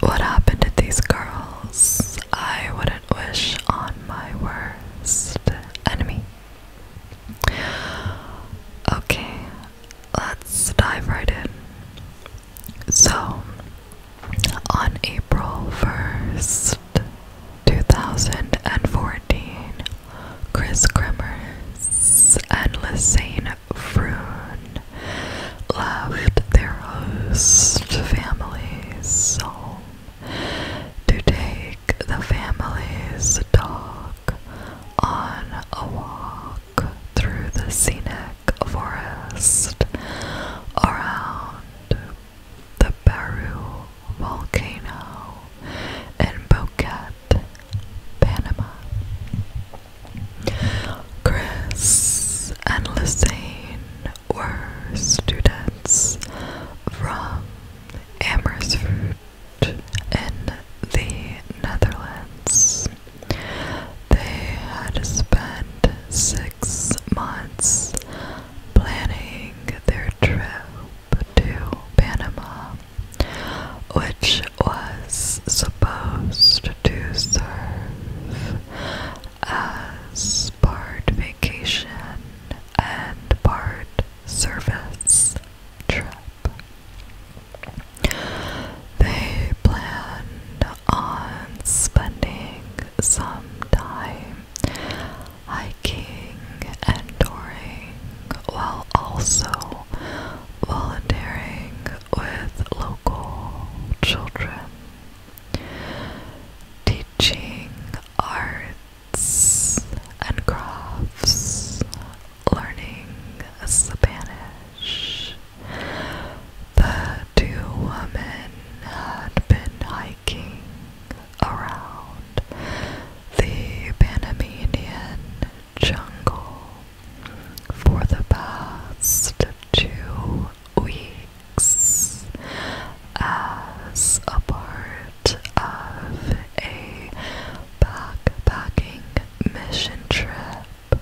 What happened to these girls? I wouldn't wish on my worst enemy. Okay, let's dive right in. So, on April 1st, 2014, Chris Kremers and Lisanne Froon left their host families to take the family's dog on a walk through the scenic forest around the Baru volcano in Boquete, Panama. Chris and Lucene were students from Amersfoort in the Netherlands. They had spent six months planning their trip to Panama, which was supposed to serve as part vacation and part service trip. They planned on spending some time hiking and touring while also volunteering with local children, teaching arts and crafts, learning Spanish. The two women had been hiking around the Panamanian jungle for the past two weeks, as a part of a backpacking mission trip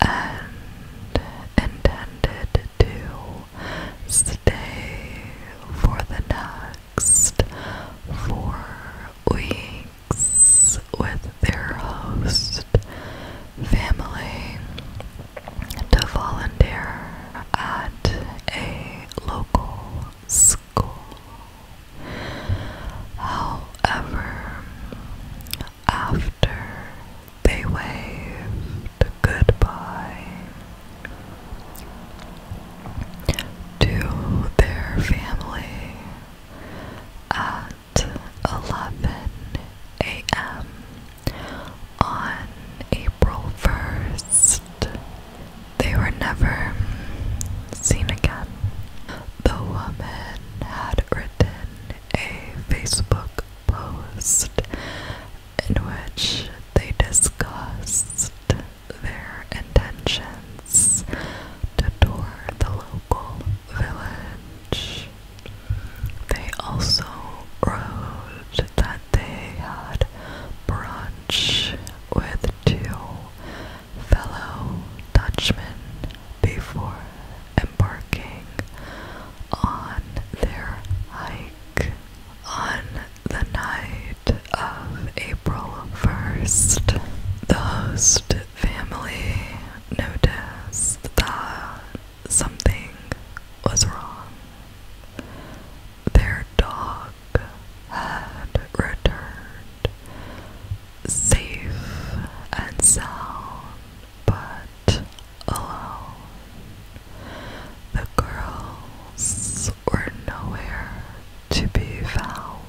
and intended to stay for the next four weeks with their host family to volunteer at a local school. However, after they waved goodbye to their family at 11 a.m. on April 1st. They were never seen again. The woman had written a Facebook post in which they discussed their intentions to tour the village. They also wrote that they had brunch with two fellow Dutchmen before embarking on their hike on the night of April 1st. The host family noticed that something was wrong. Their dog had returned safe and sound, but alone. The girls were nowhere to be found.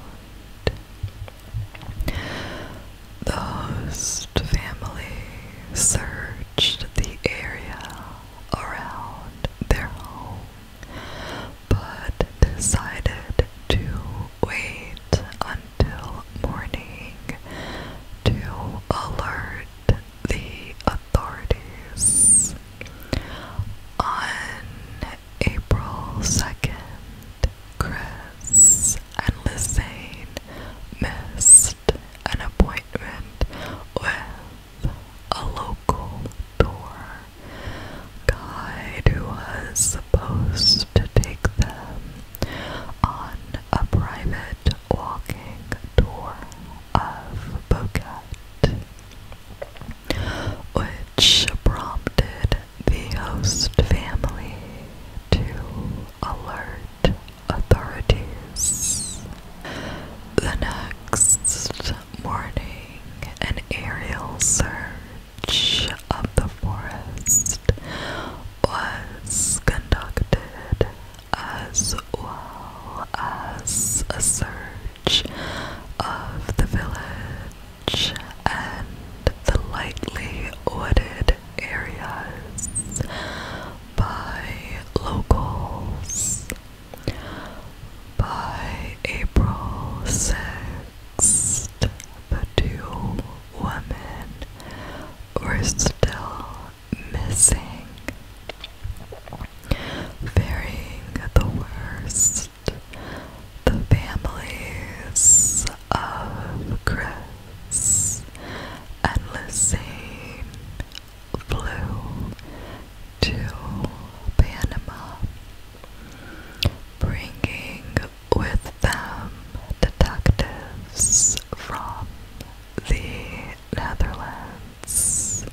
The host family searched the area around their home but decided to wait until morning to alert the authorities. On April 2nd, Chris and Lizane missed an appointment with a local tour guide who was supposed to take them on a private walking tour of Boquette. Which prompted the host family to alert authorities. The next morning, an aerial search of the forest was conducted, as well as a search of the village and the lightly wooded areas by locals. By April 6th, the two women were still missing, varying the worst the families of Chris and Lucine flew to Panama, bringing with them detectives from the Netherlands,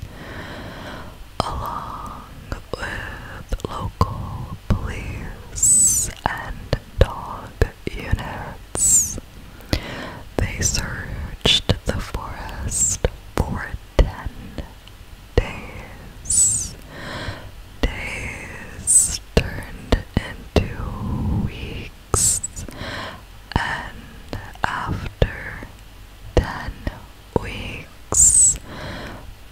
along with local police, and dog units. They searched the forest for ten days. Days turned into weeks, and after ten weeks,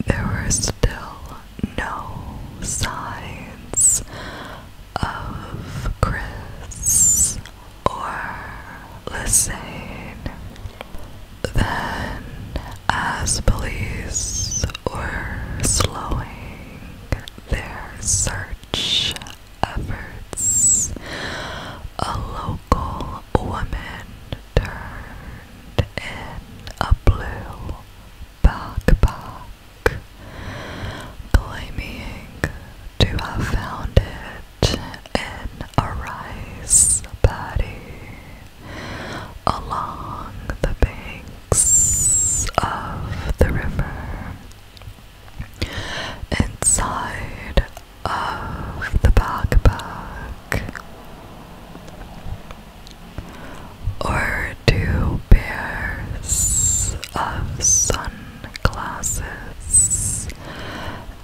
there were still no signs of Chris or Lysane. Then, as police were slowing their search efforts, a local woman turned in a blue backpack, claiming to have found it in a rice paddy along the banks of the river. Inside of the backpack or two pairs of sunglasses,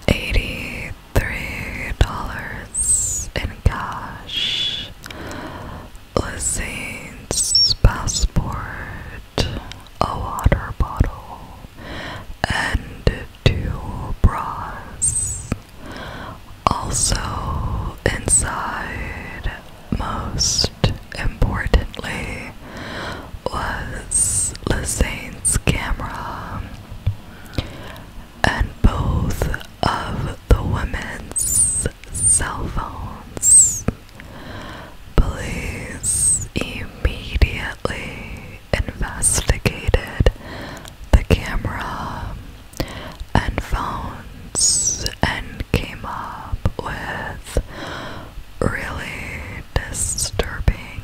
eighty-three dollars in cash, Lissane's passport, a water bottle, and two bras. Also, inside, most importantly, was Lisane's camera, and both of the women's cell phones. Police immediately investigated the camera and found and came up with really disturbing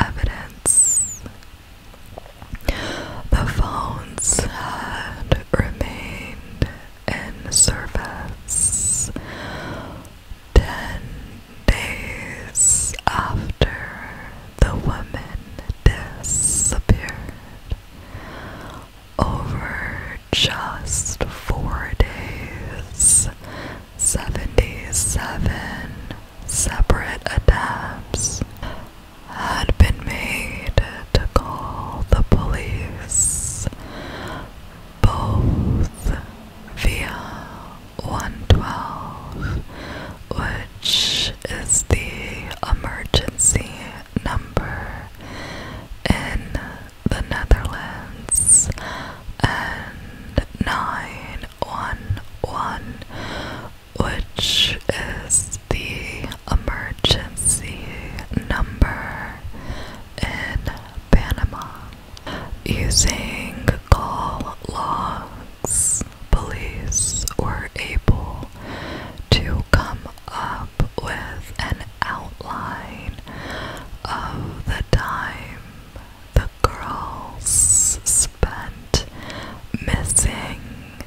evidence. The phones had remained in service ten days after the woman disappeared. Over just four days, 77 separate attempts had been made to call the police, both via 112 which is the emergency number in the Netherlands, and 911, which is the emergency number in Panama. Using call logs police were able to come up with an outline of the time the girls spent missing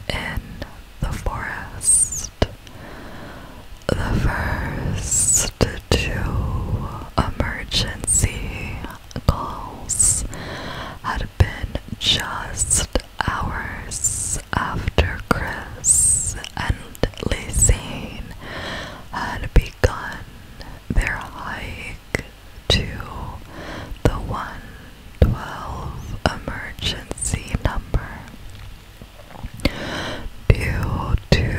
in the forest. The first two emergency calls had been just hours after Chris and Lysine had begun their hike to the 112 emergency number. Due to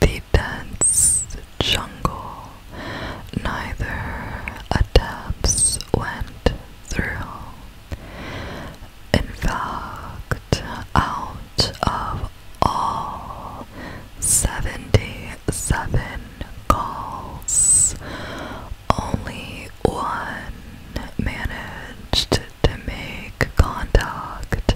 the dense jungle neither attempts went through. In fact, out of all 77 calls, only one managed to make contact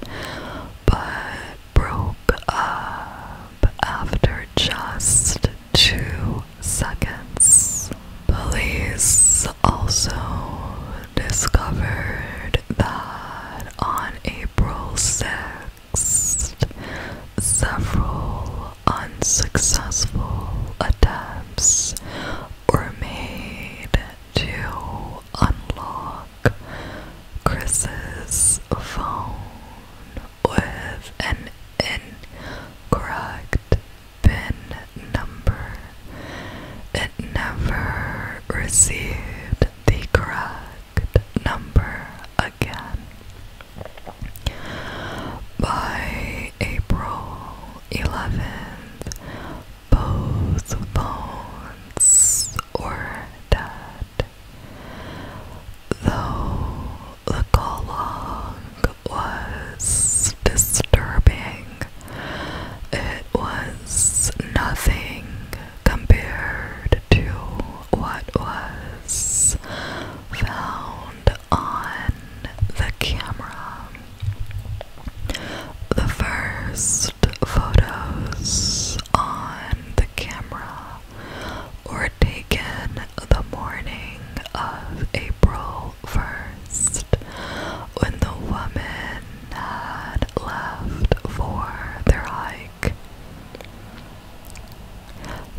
but broke up after just two seconds. Police also discovered that on April six, several unsuccessful attempts were made to unlock Chris's phone or have an incorrect PIN number. It never received the correct number again. By April 11th, both phones were dead. Though the call was disturbing, it was nothing compared to what was found on the camera. The first photos on the camera or taken the morning of April 1st, when the woman had left for their hike.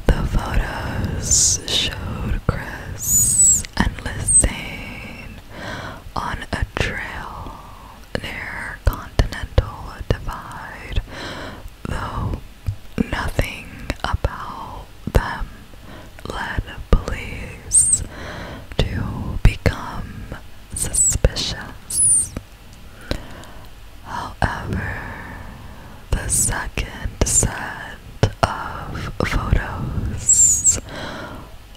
The photos showed Chris and Lysane on a trail near Continental Divide though nothing about them led police to become suspicious. However, the second set of photos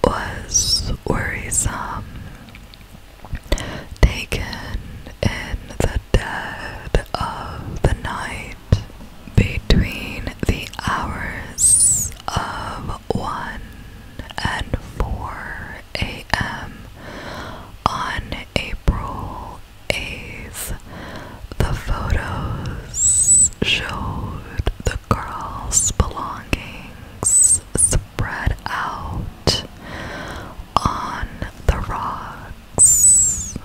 was worrisome taken in the dead of the night between the hours of 1 and 4 a.m. on April 8th. The photos showed the girl's belongings spread out on the rocks,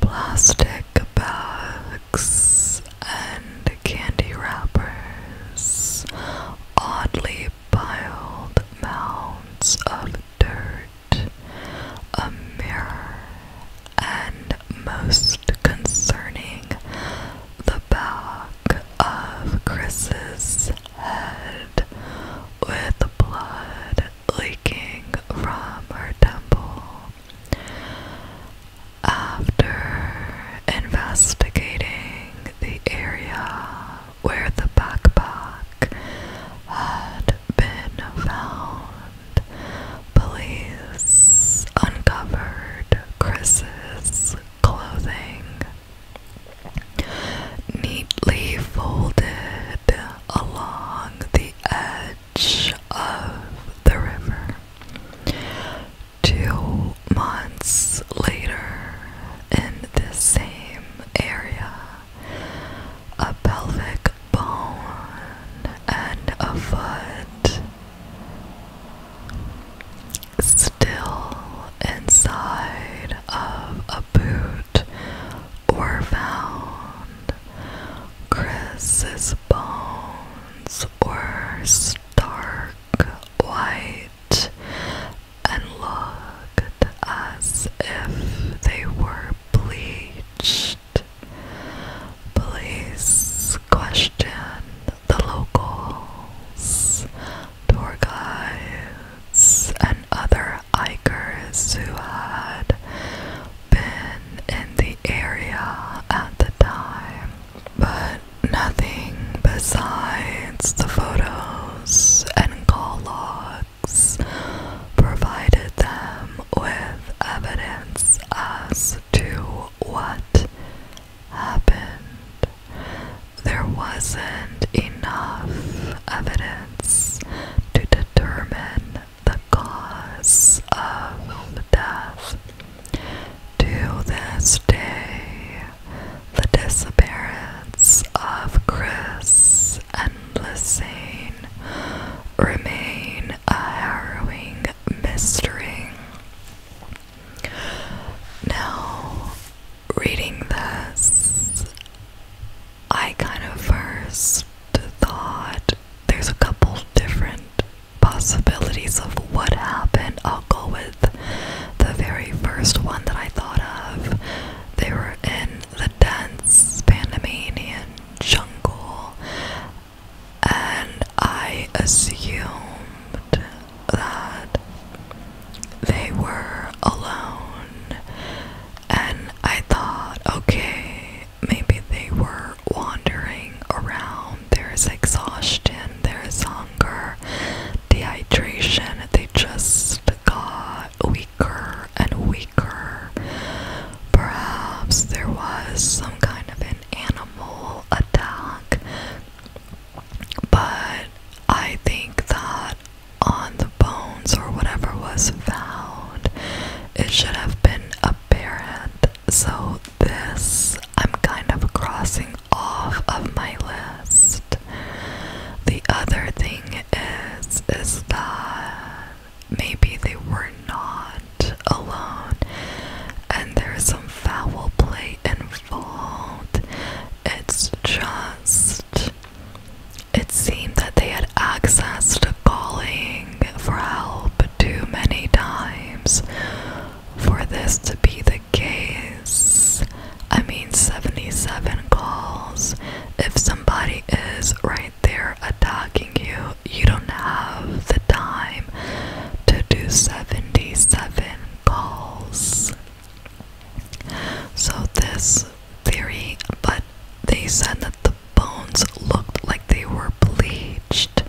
Plastic bags and candy wrappers, oddly piled mounds of dirt, a mirror, and most concerning, the back of Chris's head with blood leaking from her temple. After investigating the area where the backpack had been found, police uncovered Chris's clothing. Neatly folded along the edge of the river. Two months later, in the same area, a pelvic bone and a foot still inside of a boot or found. Chris's bones were stark white and looked as if they were bleached. Police questioned the locals, tour guides, and other hikers who had been in the area at the time, but nothing besides the photos and call logs provided them with evidence as to what happened, there wasn't enough evidence to determine the cause of death. To this day, the disappearance of Chris and Lysane remain a harrowing mystery. Now, reading this, I kind of first thought there's a couple different possibilities of what happened. I'll go with the very first one that I thought of. They were in the dense Panamanian jungle and I assumed that they were alone, and I thought, okay, maybe they were wandering around. There's exhaustion, there's hunger, dehydration, they just got weaker and weaker. Perhaps there was some kind of animal attack, but I think that on the bones or whatever was found, it should have been a bear So, this I'm kind of crossing off of my list. The other thing is, is that maybe they were not alone, and there's some foul play involved. It's just. It seemed that they had access to calling for help too many times for this to be the case. I mean, 77 calls. If somebody is right there attacking you, you don't have the time to do 77 calls. So this theory, but they said that the bones looked like they were bleached.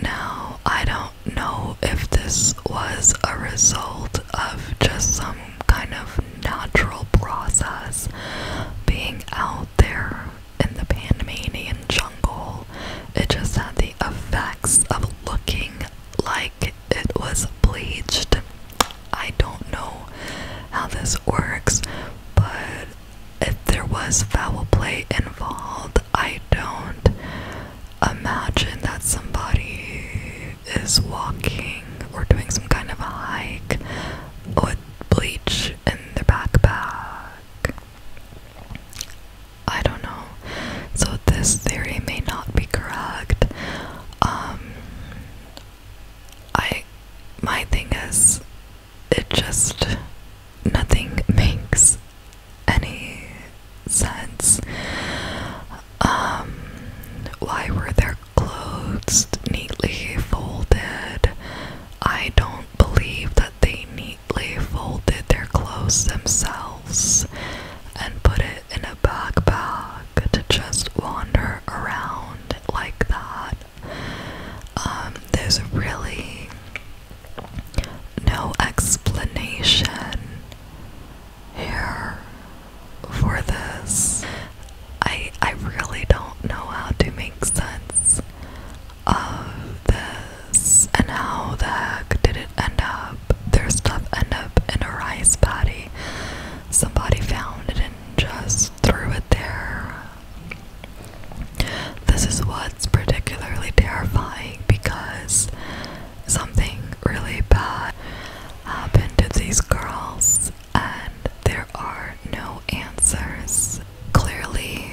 Now, I don't know if this was a result of just some kind of natural process being out there in the Panamanian jungle, it just had the effects of looking like it was bleached. I don't know how this works, but if there was foul play involved, I don't imagine that somebody is walking or doing some kind of a hike with bleach in their backpack. I don't know. So this theory may not be correct. Um, I my thing is it just nothing makes any sense. Um, why were their clothes neatly folded? I don't believe that they need they folded their clothes themselves and put it in a backpack to just wander around like that. Um, there's really no explanation here for this. I I really don't know how to make sense of this and how the heck did it end up? Their stuff end up in a rice paddy. Somebody found it and just threw it there. This is what's particularly terrifying because something really bad happened to these girls and there are no answers. Clearly,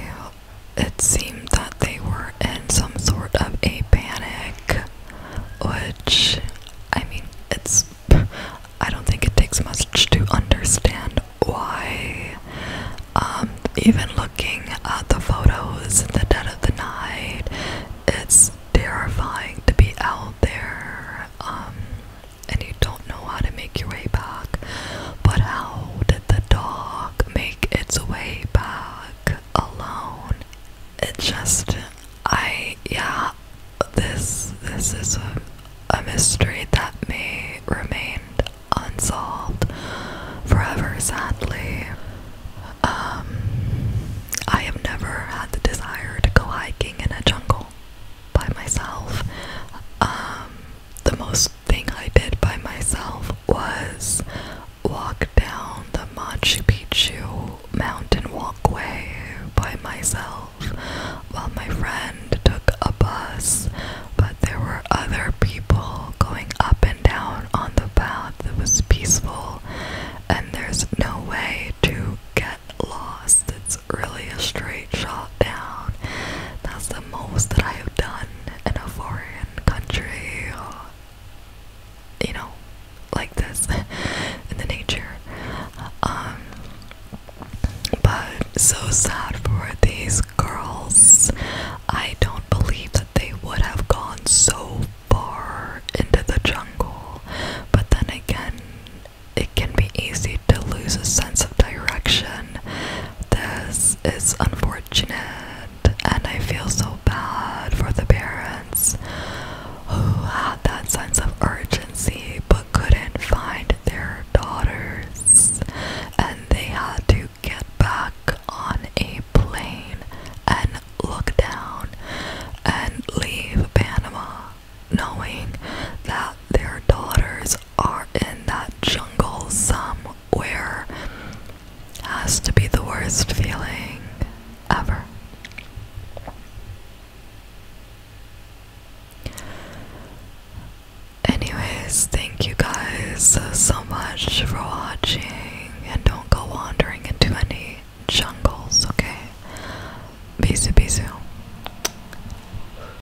it seemed that they were in some sort of a panic, which, I mean, it's. I don't think it takes much to understand why. Um, even looking at the photos in the dead of the night, it's terrifying to be out there, um, and you don't know how to make your way back. But how did the dog make its way back alone? It just, I, yeah, this, this is a, mystery that may remain unsolved forever, sadly. Um, I have never had the desire to go hiking in a jungle by myself. Um, the most thing I did by myself was walk down the Machu Picchu mountain walkway by myself while my friend took a bus, but there were other people going up and down on the path that was peaceful, and there's no way to get lost. It's really a straight shot down. That's the most that I have done in a foreign country. You know, like this in the nature. Um, but so sad for these girls. I don't believe that they would have gone so far into the jungle, but then again, it can be easy to lose a sense of direction this is unfortunate, and I feel so bad for the parents who had that sense of urgency but couldn't find their daughters, and they had to get back on a plane and look down and leave Panama knowing that their daughters are in that jungle somewhere has to be the worst feeling ever. Anyways, thank you guys so much for watching and don't go wandering into any jungles, okay? Bisous, bisous.